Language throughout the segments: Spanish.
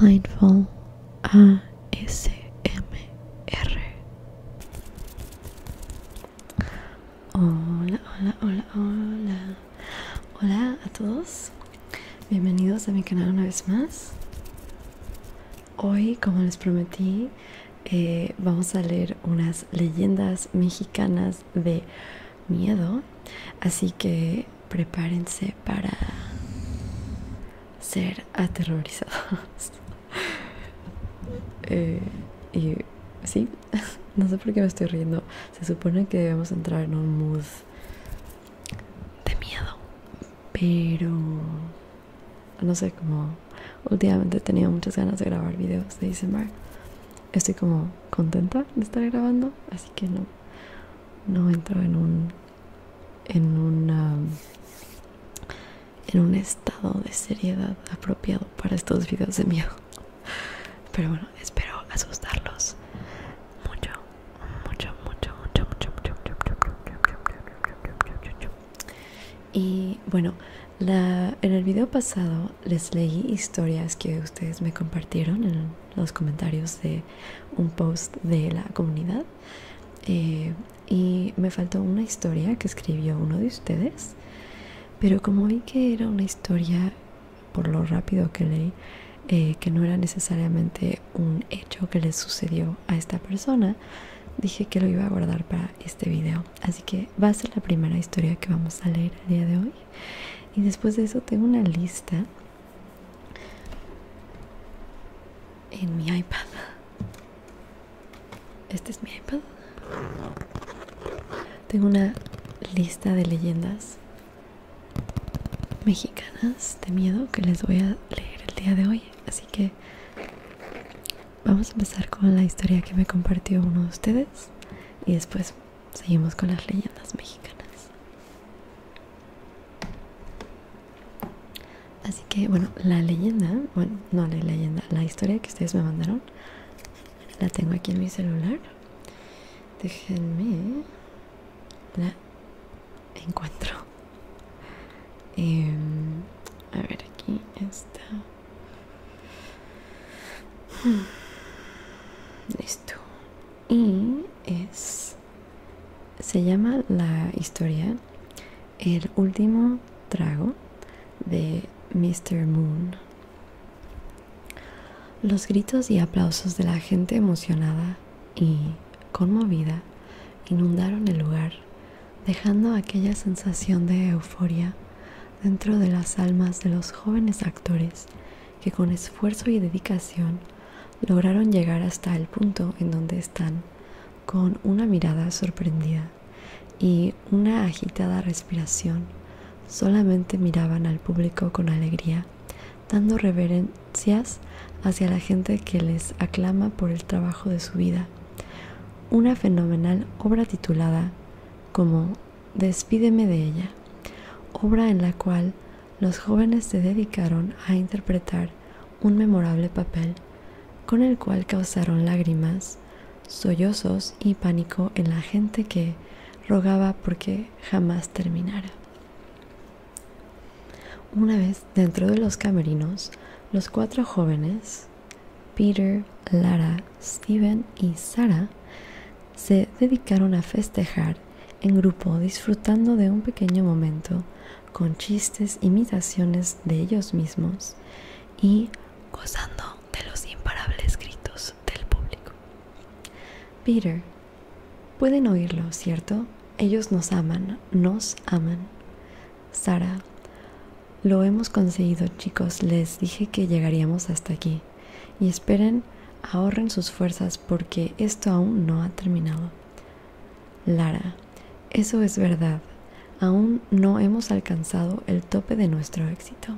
Mindful ASMR. Hola, hola, hola, hola. Hola a todos. Bienvenidos a mi canal una vez más. Hoy, como les prometí, eh, vamos a leer unas leyendas mexicanas de miedo. Así que prepárense para ser aterrorizados. Eh, y sí, no sé por qué me estoy riendo. Se supone que debemos entrar en un mood de miedo, pero no sé, como últimamente he tenido muchas ganas de grabar videos de Mark Estoy como contenta de estar grabando, así que no, no entro en un en en un estado de seriedad apropiado para estos videos de miedo pero bueno espero asustarlos mucho mucho mucho mucho mucho y bueno la, en el video pasado les leí historias que ustedes me compartieron en los comentarios de un post de la comunidad eh, y me faltó una historia que escribió uno de ustedes pero como vi que era una historia por lo rápido que leí eh, que no era necesariamente un hecho que le sucedió a esta persona dije que lo iba a guardar para este video así que va a ser la primera historia que vamos a leer el día de hoy y después de eso tengo una lista en mi iPad. Este es mi iPad. Tengo una lista de leyendas mexicanas de miedo que les voy a leer el día de hoy. Así que vamos a empezar con la historia que me compartió uno de ustedes y después Seguimos con las leyendas mexicanas. Así que, bueno, la leyenda, bueno, no la leyenda, la historia que ustedes me mandaron, la tengo aquí en mi celular. Déjenme la encuentro. Em, a ver, aquí está. Hmm, listo y es se llama la historia el último trago de Mr. Moon. Los gritos y aplausos de la gente emocionada y conmovida inundaron el lugar, dejando aquella sensación de euforia dentro de las almas de los jóvenes actores que con esfuerzo y dedicación lograron llegar hasta el punto en donde están con una mirada sorprendida y una agitada respiración. Solamente miraban al público con alegría, dando reverencias hacia la gente que les aclama por el trabajo de su vida. Una fenomenal obra titulada como Despídeme de ella, obra en la cual los jóvenes se dedicaron a interpretar un memorable papel con el cual causaron lágrimas, sollozos y pánico en la gente que rogaba porque jamás terminara. Una vez dentro de los camerinos, los cuatro jóvenes, Peter, Lara, Steven y Sara, se dedicaron a festejar en grupo disfrutando de un pequeño momento con chistes, imitaciones de ellos mismos y gozando de los imparables gritos del público. Peter, pueden oírlo, ¿cierto? Ellos nos aman, nos aman. Sara, lo hemos conseguido, chicos, les dije que llegaríamos hasta aquí y esperen, ahorren sus fuerzas porque esto aún no ha terminado. Lara, eso es verdad. Aún no hemos alcanzado el tope de nuestro éxito.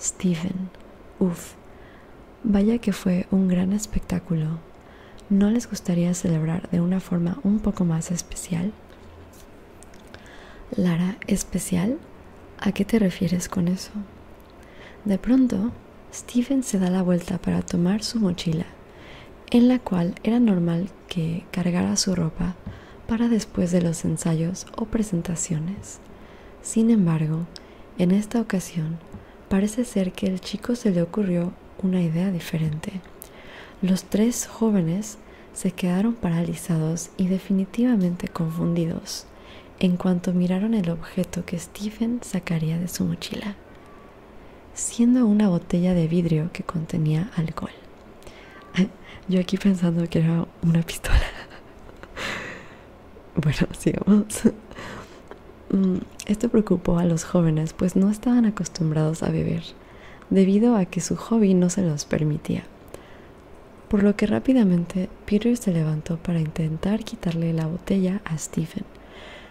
Stephen, uff, vaya que fue un gran espectáculo. ¿No les gustaría celebrar de una forma un poco más especial? Lara, ¿especial? ¿A qué te refieres con eso? De pronto, Steven se da la vuelta para tomar su mochila, en la cual era normal que cargara su ropa para después de los ensayos o presentaciones. Sin embargo, en esta ocasión, parece ser que el chico se le ocurrió una idea diferente. Los tres jóvenes se quedaron paralizados y definitivamente confundidos, en cuanto miraron el objeto que Stephen sacaría de su mochila, siendo una botella de vidrio que contenía alcohol. Yo aquí pensando que era una pistola. Bueno, sigamos. Mm, esto preocupó a los jóvenes, pues no estaban acostumbrados a beber, debido a que su hobby no se los permitía. Por lo que rápidamente Peter se levantó para intentar quitarle la botella a Stephen.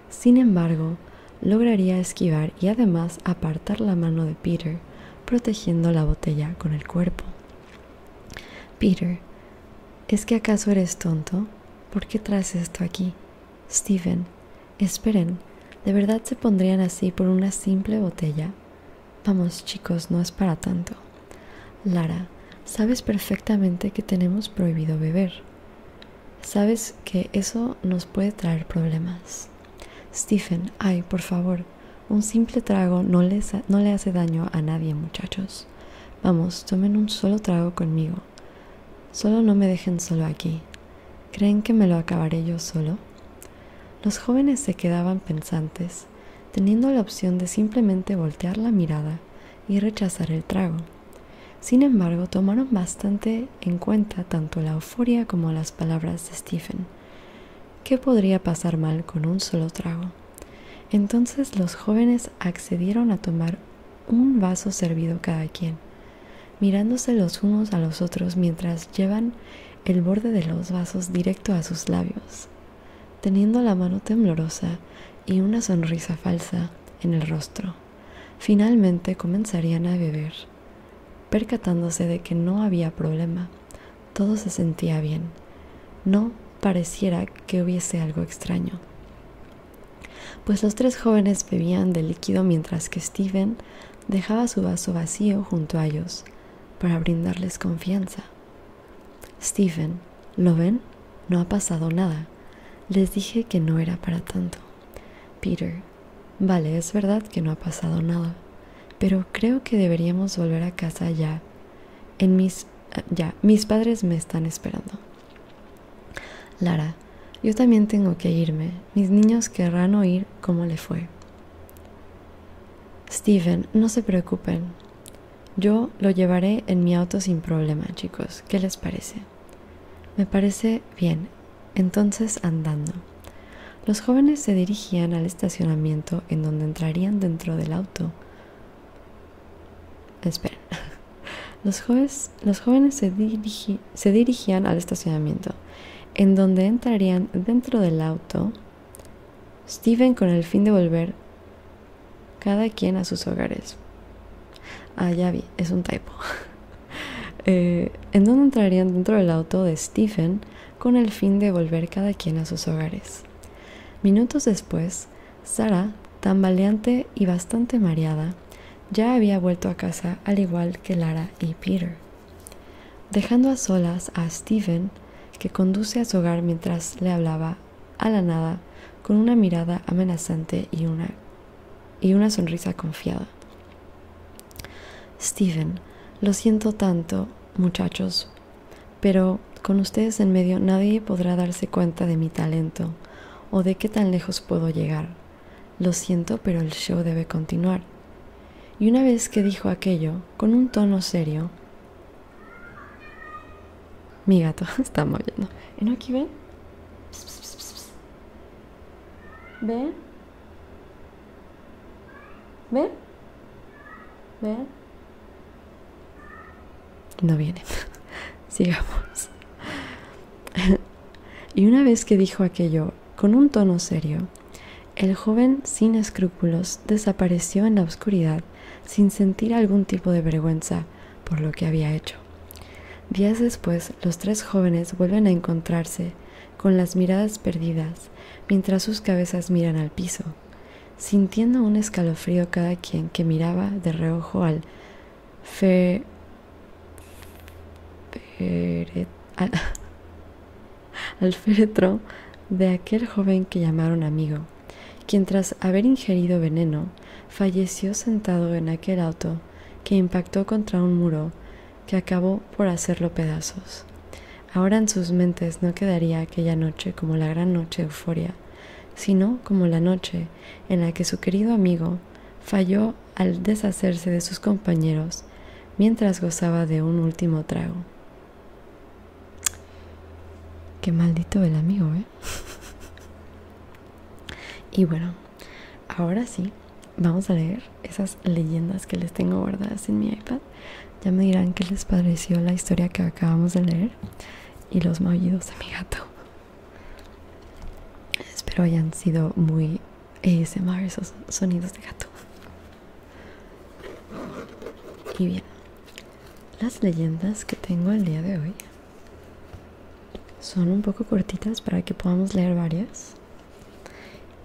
Sin embargo, lograría esquivar y además apartar la mano de Peter, protegiendo la botella con el cuerpo. Peter, ¿es que acaso eres tonto? ¿Por qué traes esto aquí? Stephen, esperen, ¿de verdad se pondrían así por una simple botella? Vamos chicos, no es para tanto. Lara, sabes perfectamente que tenemos prohibido beber. Sabes que eso nos puede traer problemas. Stephen, ay, por favor, un simple trago no, le hace daño a nadie, muchachos. Vamos, tomen un solo trago conmigo. Solo no me dejen solo aquí. ¿Creen que me lo acabaré yo solo? Los jóvenes se quedaban pensantes, teniendo la opción de simplemente voltear la mirada y rechazar el trago. Sin embargo, tomaron bastante en cuenta tanto la euforia como las palabras de Stephen. ¿Qué podría pasar mal con un solo trago? Entonces los jóvenes accedieron a tomar un vaso servido cada quien, mirándose los unos a los otros mientras llevan el borde de los vasos directo a sus labios teniendo la mano temblorosa y una sonrisa falsa en el rostro. Finalmente comenzarían a beber, percatándose de que no había problema, todo se sentía bien, no pareciera que hubiese algo extraño. Pues los tres jóvenes bebían del líquido mientras que Stephen dejaba su vaso vacío junto a ellos para brindarles confianza. Steven, ¿lo ven? No ha pasado nada. Les dije que no era para tanto. Peter, vale, es verdad que no ha pasado nada, pero creo que deberíamos volver a casa ya. En mis ah, ya, mis padres me están esperando. Lara, yo también tengo que irme. Mis niños querrán oír cómo le fue. Steven, no se preocupen. Yo lo llevaré en mi auto sin problema, chicos. ¿Qué les parece? Me parece bien. Entonces andando. Los jóvenes se dirigían al estacionamiento en donde entrarían dentro del auto. Esperen. Los, jóvenes, se dirigían al estacionamiento, en donde entrarían dentro del auto. Steven, con el fin de volver cada quien a sus hogares. Ah, ya vi, es un typo. Eh, ¿En dónde entrarían dentro del auto de Stephen con el fin de volver cada quien a sus hogares? Minutos después, Sara, tambaleante y bastante mareada, ya había vuelto a casa al igual que Lara y Peter. Dejando a solas a Stephen, que conduce a su hogar mientras le hablaba a la nada con una mirada amenazante y una, y una sonrisa confiada. Steven, lo siento tanto, muchachos, pero con ustedes en medio nadie podrá darse cuenta de mi talento o de qué tan lejos puedo llegar. Lo siento, pero el show debe continuar. Y una vez que dijo aquello, con un tono serio, mi gato está moviendo. ¿Y aquí ven? ¿Ven? ¿Ven? ¿Ven? No viene. Sigamos. y una vez que dijo aquello con un tono serio, el joven sin escrúpulos desapareció en la oscuridad sin sentir algún tipo de vergüenza por lo que había hecho. Días después, los tres jóvenes vuelven a encontrarse con las miradas perdidas mientras sus cabezas miran al piso, sintiendo un escalofrío cada quien que miraba de reojo al fe... al, al féretro de aquel joven que llamaron amigo quien tras haber ingerido veneno falleció sentado en aquel auto que impactó contra un muro que acabó por hacerlo pedazos. Ahora en sus mentes no quedaría aquella noche como la gran noche de euforia, sino como la noche en la que su querido amigo falló al deshacerse de sus compañeros mientras gozaba de un último trago. Qué maldito el amigo, ¿eh? y bueno, ahora sí, vamos a leer esas leyendas que les tengo guardadas en mi iPad. Ya me dirán qué les pareció la historia que acabamos de leer y los maullidos de mi gato. Espero hayan sido muy ASMR esos sonidos de gato. Y bien, las leyendas que tengo el día de hoy son un poco cortitas para que podamos leer varias.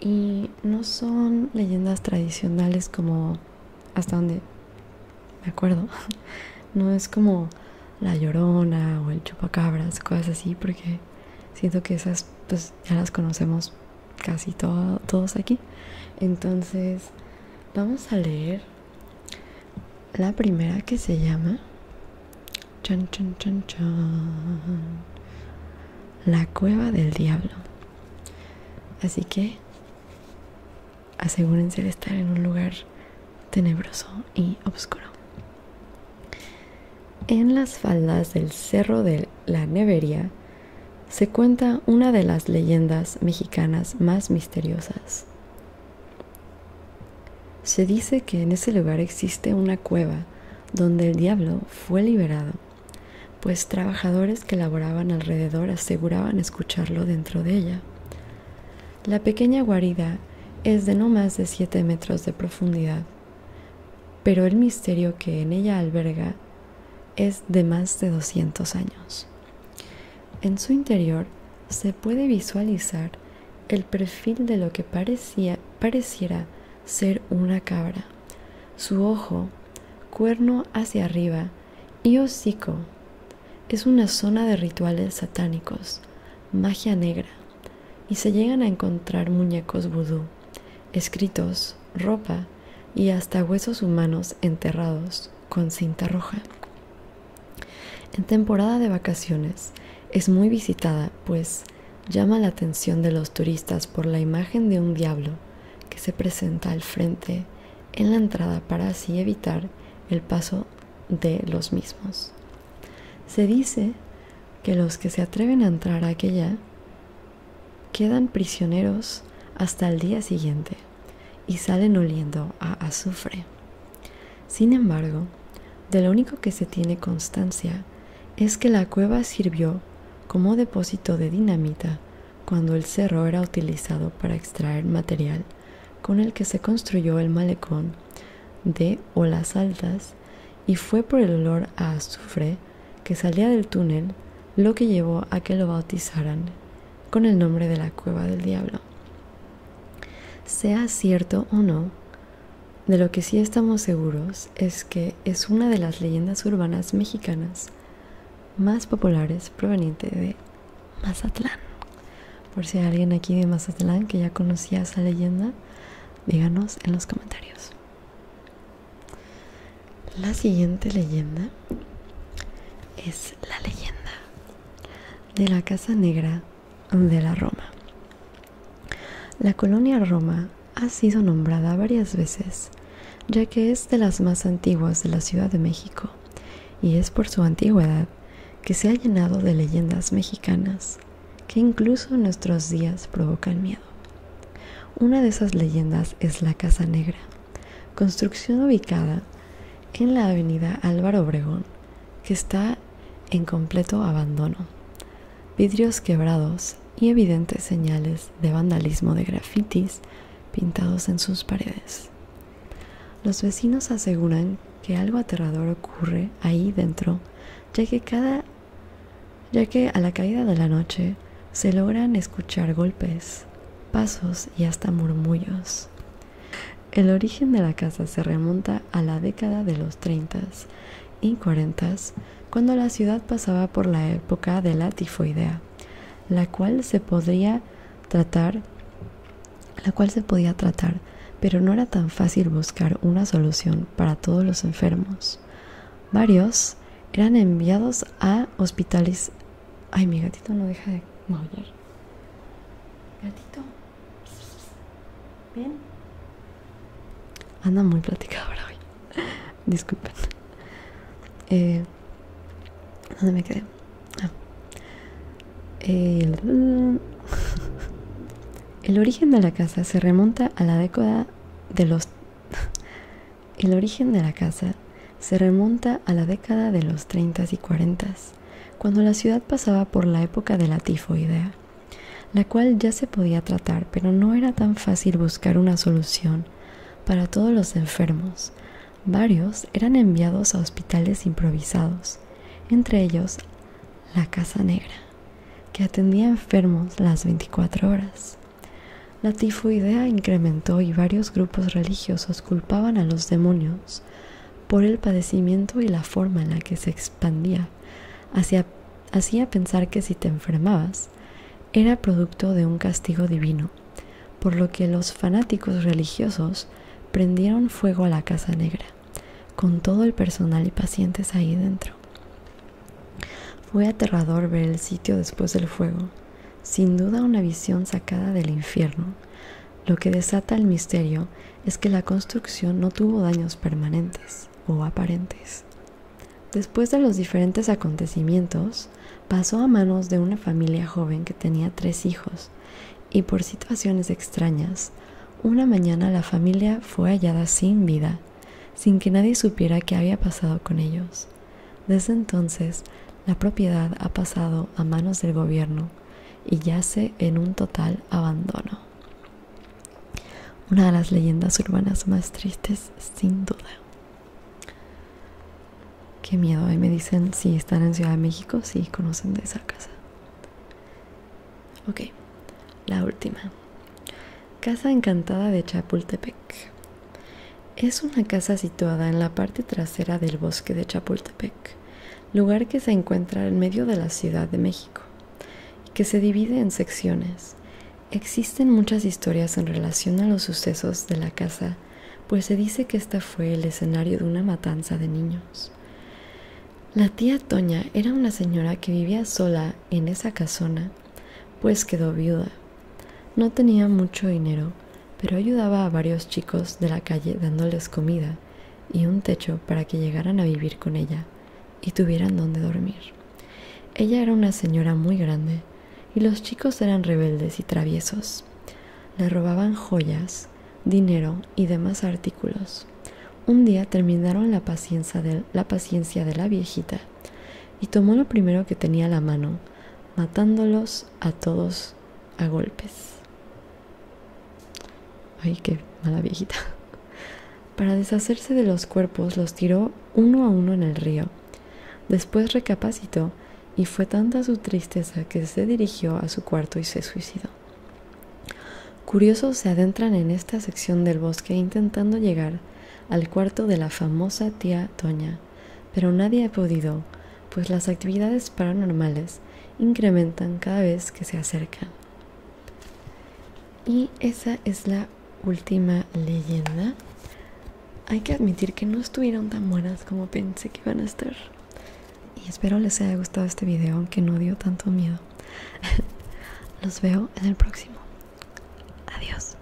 Y no son leyendas tradicionales como hasta donde me acuerdo. No es como la llorona o el chupacabras, cosas así, porque siento que esas pues ya las conocemos casi todos aquí. Entonces, vamos a leer la primera que se llama chan, chan, chan, chan, La Cueva del Diablo. Así que asegúrense de estar en un lugar tenebroso y oscuro. En las faldas del Cerro de la Nevería se cuenta una de las leyendas mexicanas más misteriosas. Se dice que en ese lugar existe una cueva donde el diablo fue liberado, pues trabajadores que laboraban alrededor aseguraban escucharlo dentro de ella. La pequeña guarida es de no más de siete metros de profundidad, pero el misterio que en ella alberga es de más de 200 años. En su interior se puede visualizar el perfil de lo que parecía, pareciera ser una cabra. Su ojo, cuerno hacia arriba y hocico es una zona de rituales satánicos, magia negra, y se llegan a encontrar muñecos vudú, escritos, ropa y hasta huesos humanos enterrados con cinta roja. En temporada de vacaciones es muy visitada, pues llama la atención de los turistas por la imagen de un diablo que se presenta al frente en la entrada para así evitar el paso de los mismos. Se dice que los que se atreven a entrar a aquella quedan prisioneros hasta el día siguiente y salen oliendo a azufre. Sin embargo, de lo único que se tiene constancia es que la cueva sirvió como depósito de dinamita cuando el cerro era utilizado para extraer material con el que se construyó el malecón de olas altas y fue por el olor a azufre que salía del túnel lo que llevó a que lo bautizaran con el nombre de la cueva del diablo. Sea cierto o no, de lo que sí estamos seguros es que es una de las leyendas urbanas mexicanas más populares proveniente de Mazatlán. Por si alguien aquí de Mazatlán que ya conocía esa leyenda, díganos en los comentarios. La siguiente leyenda es la leyenda de la Casa Negra de la Roma. La colonia Roma ha sido nombrada varias veces, ya que es de las más antiguas de la Ciudad de México, y es por su antigüedad que se ha llenado de leyendas mexicanas que incluso en nuestros días provocan miedo. Una de esas leyendas es la Casa Negra, construcción ubicada en la avenida Álvaro Obregón, que está en completo abandono, vidrios quebrados y evidentes señales de vandalismo de grafitis pintados en sus paredes. Los vecinos aseguran que algo aterrador ocurre ahí dentro, ya que cada ya que a la caída de la noche se logran escuchar golpes, pasos y hasta murmullos. El origen de la casa se remonta a la década de los 30 y 40, cuando la ciudad pasaba por la época de la tifoidea, la cual se podría tratar, la cual se podía tratar, pero no era tan fácil buscar una solución para todos los enfermos. Varios eran enviados a hospitales Ay, mi gatito no deja de maullar. Gatito. Bien. Anda muy ahora hoy. Disculpen. ¿Dónde eh, me quedé? Ah. el origen de la casa se remonta a la década de los el origen de la casa se remonta a la década de los 30 y 40, cuando la ciudad pasaba por la época de la tifoidea, la cual ya se podía tratar, pero no era tan fácil buscar una solución para todos los enfermos. Varios eran enviados a hospitales improvisados, entre ellos la Casa Negra, que atendía enfermos las 24 horas. La tifoidea incrementó y varios grupos religiosos culpaban a los demonios por el padecimiento y la forma en la que se expandía. hacía pensar que si te enfermabas era producto de un castigo divino, por lo que los fanáticos religiosos prendieron fuego a la Casa Negra, con todo el personal y pacientes ahí dentro. Fue aterrador ver el sitio después del fuego sin duda una visión sacada del infierno. Lo que desata el misterio es que la construcción no tuvo daños permanentes o aparentes. Después de los diferentes acontecimientos, pasó a manos de una familia joven que tenía tres hijos, y por situaciones extrañas, una mañana la familia fue hallada sin vida, sin que nadie supiera qué había pasado con ellos. Desde entonces, la propiedad ha pasado a manos del gobierno y yace en un total abandono. Una de las leyendas urbanas más tristes, sin duda. Qué miedo, ahí me dicen si están en Ciudad de México, si conocen de esa casa. Ok, la última. Casa Encantada de Chapultepec. Es una casa situada en la parte trasera del bosque de Chapultepec, lugar que se encuentra en medio de la Ciudad de México y que se divide en secciones. Existen muchas historias en relación a los sucesos de la casa, pues se dice que esta fue el escenario de una matanza de niños. La tía Toña era una señora que vivía sola en esa casona pues quedó viuda. No tenía mucho dinero, pero ayudaba a varios chicos de la calle dándoles comida y un techo para que llegaran a vivir con ella y tuvieran donde dormir. Ella era una señora muy grande y los chicos eran rebeldes y traviesos. Le robaban joyas, dinero y demás artículos. Un día terminaron la paciencia de la, paciencia de la viejita y tomó lo primero que tenía la mano matándolos a todos a golpes. Ay, qué mala viejita. Para deshacerse de los cuerpos los tiró uno a uno en el río. Después recapacitó y fue tanta su tristeza que se dirigió a su cuarto y se suicidó. Curiosos se adentran en esta sección del bosque intentando llegar al cuarto de la famosa tía Toña, pero nadie ha podido, pues las actividades paranormales incrementan cada vez que se acercan. Y esa es la última leyenda. Hay que admitir que no estuvieron tan buenas como pensé que iban a estar. Y espero les haya gustado este video, aunque no dio tanto miedo. Los veo en el próximo. Adiós.